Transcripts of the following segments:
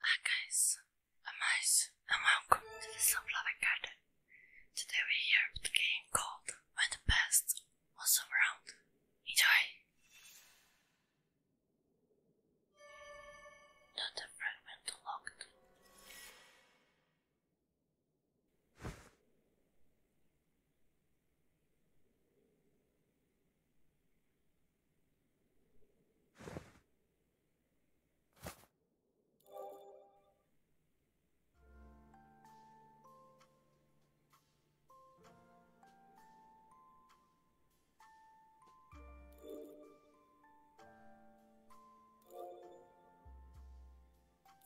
Hi guys, I'm Ice and welcome to the Sunflower Garden. Today we're here with a game called When the Past Was Around. Enjoy! Not a fragment locked.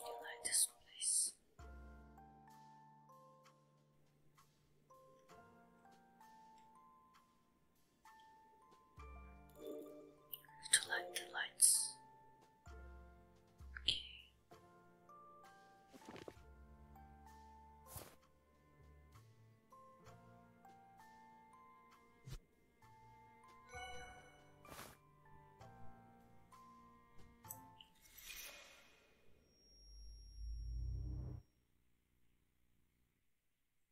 You like this place? to light the lights. Okay.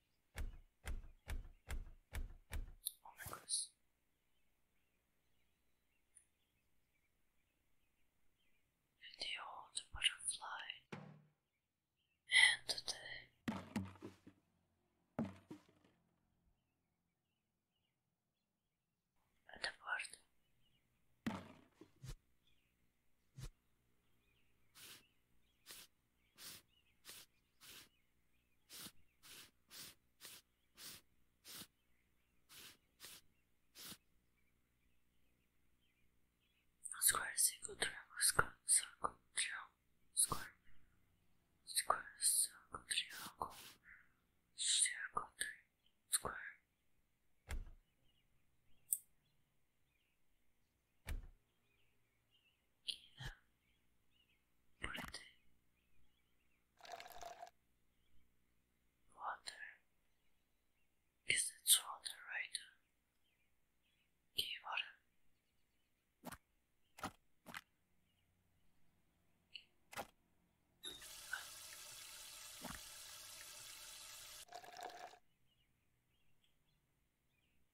Oh my the old butterfly. And the and bird square is equal to circle, circle, triangle, square, square, circle, triangle, circle, square in pretty water is it water right key water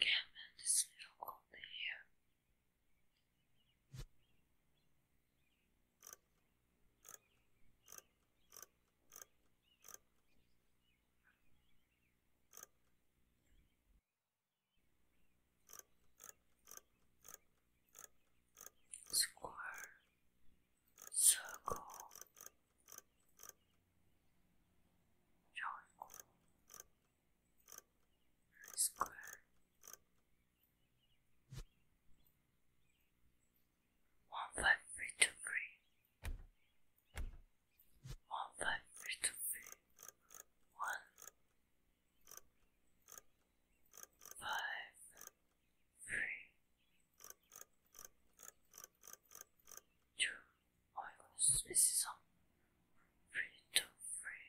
Can't mend this little cold here. Square, circle, triangle, square, one five three two three. One five three two three. One five three two. Oh my gosh, this three two three.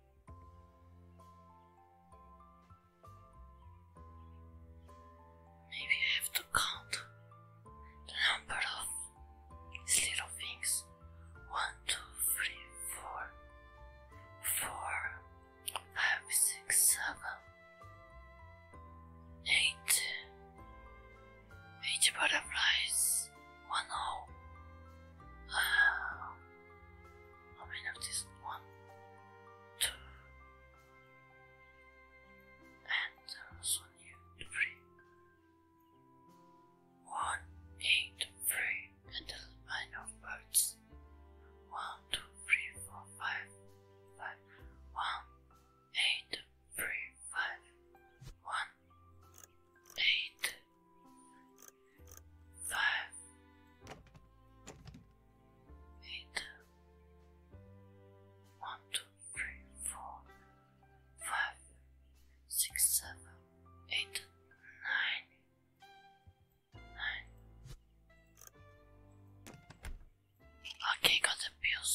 Maybe I have to count the number of these little things. One, two, three, four, four, five, six, seven, eight, eight butterflies, one oh. Uh, how many of these? One, two, and there's one here, three. One, eight, three, and a line of birds. One, two, three, four, five, five. One, eight, three, five. One, eight, five, eight, one, two, three, four, five, six, seven, eight, nine, nine. Okay, got the pills.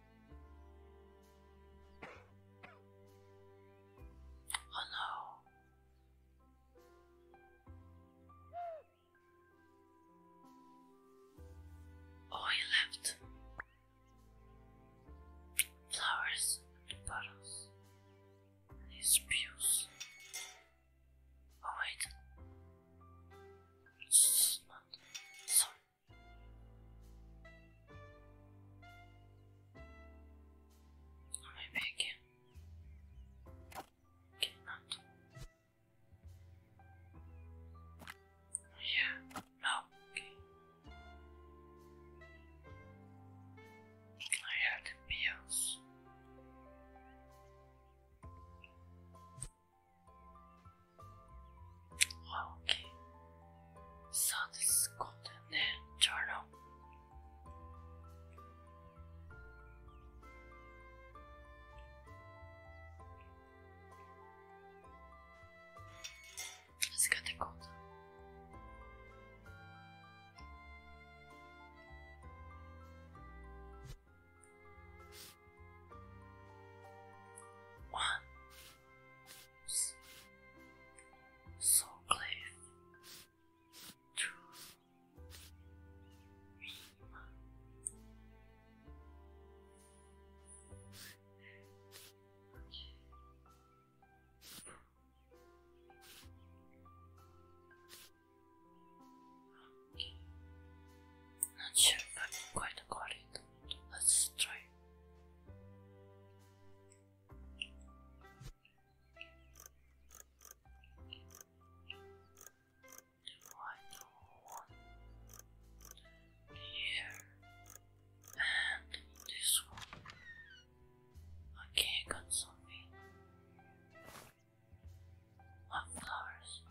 Oh no. Oh, he left flowers and bottles and his spews. Oh, wait. It's not. Sorry. Come back here. Cannot. Oh yeah. No. I have the あ、OK。そうです。今度ね、turn up。Let's get the cold. One, so close to me. Okay. Not sure if I can quite got it. Let's try. Do I know here and this one? Okay, got something. What flowers?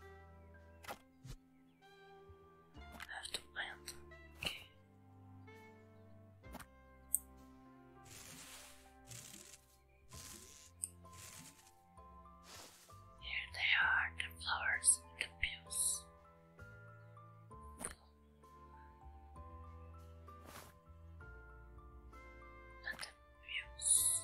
I have to plant. Okay. Here they are, the flowers and the pills. And the pills.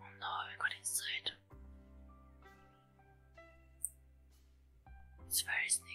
Oh no, I got inside. It's very sneaky,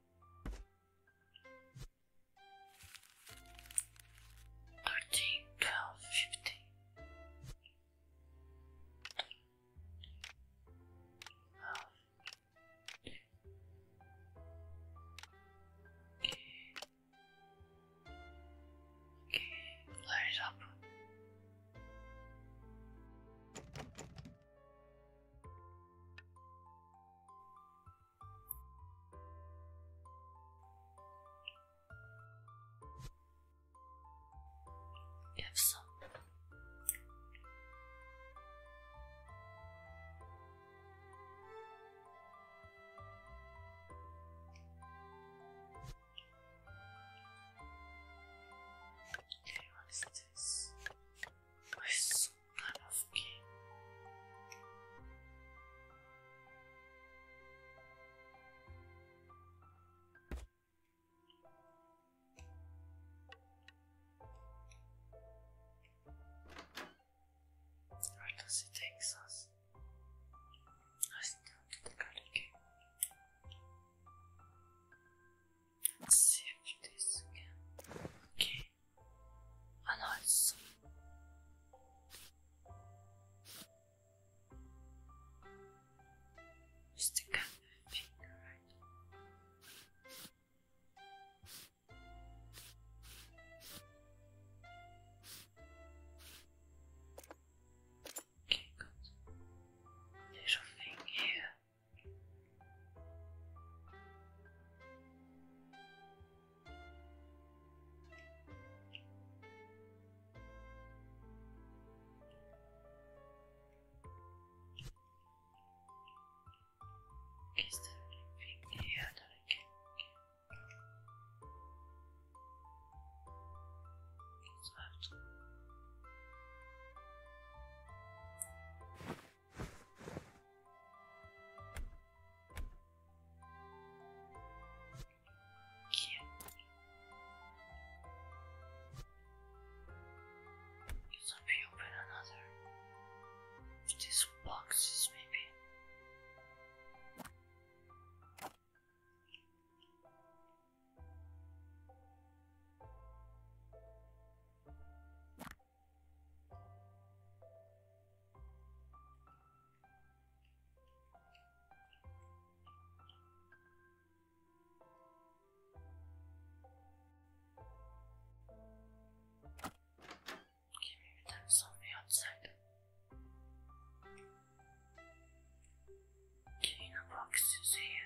13, fifteen. Twelve. Okay. Okay, light up. Yes. have what is this? I this kind of game. does it take us? I think I'll get the Let's see if this again. Okay. Oh no, it's just finger, right? Okay, good. Little thing here. Is there anything here that I can get? It's it's a bit open another these boxes maybe. Okay, maybe that's on the outside. Okay, no boxes here.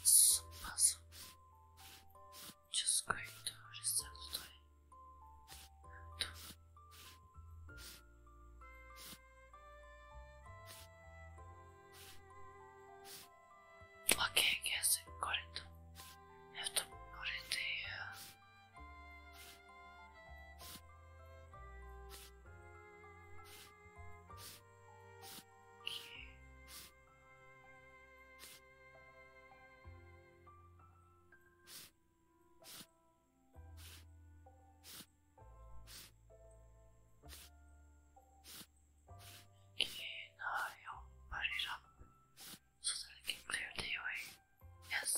it's oh, awesome. Just going to reset today. Okay, guess I got it. I have to put it here. In an eye, i up so that I can clear the way. Yes,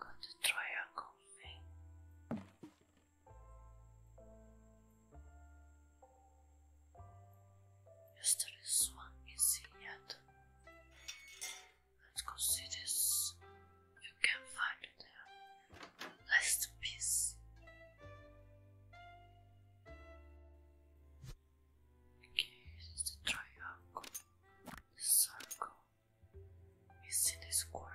got the triangle thing. Yesterday, this one is Let's go this. You can find there. Last piece. Okay, this is the triangle, the circle, missing the square.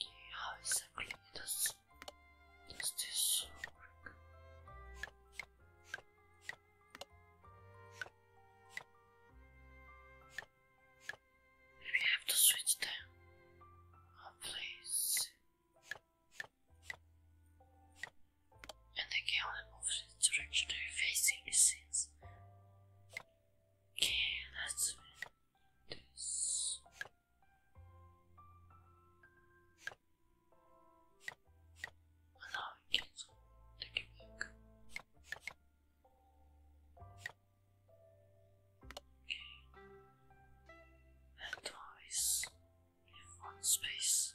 Yeah, I have to switch them. please. And I can only move in the direction they facing, it seems. Okay, that's it this. now take it back. Okay. And twice. one space.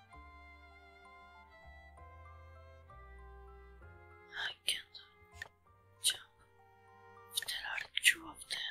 I can't jump. There are two of them.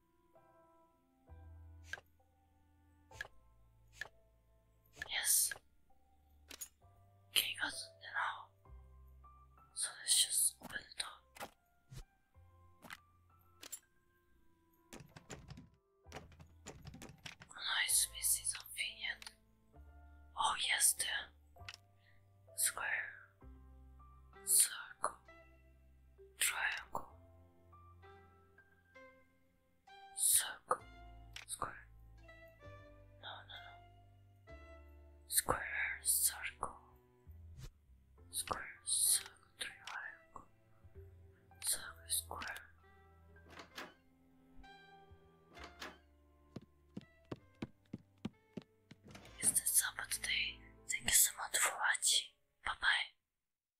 Yes. Okay, got it now. So let's just open the door. nice, oh, no, this is convenient. Oh yes, the square, circle, triangle circle, square. No, no, no. Square, circle, square, circle, triangle, circle, square. Is that all for today? Thank you so much for watching. Bye bye.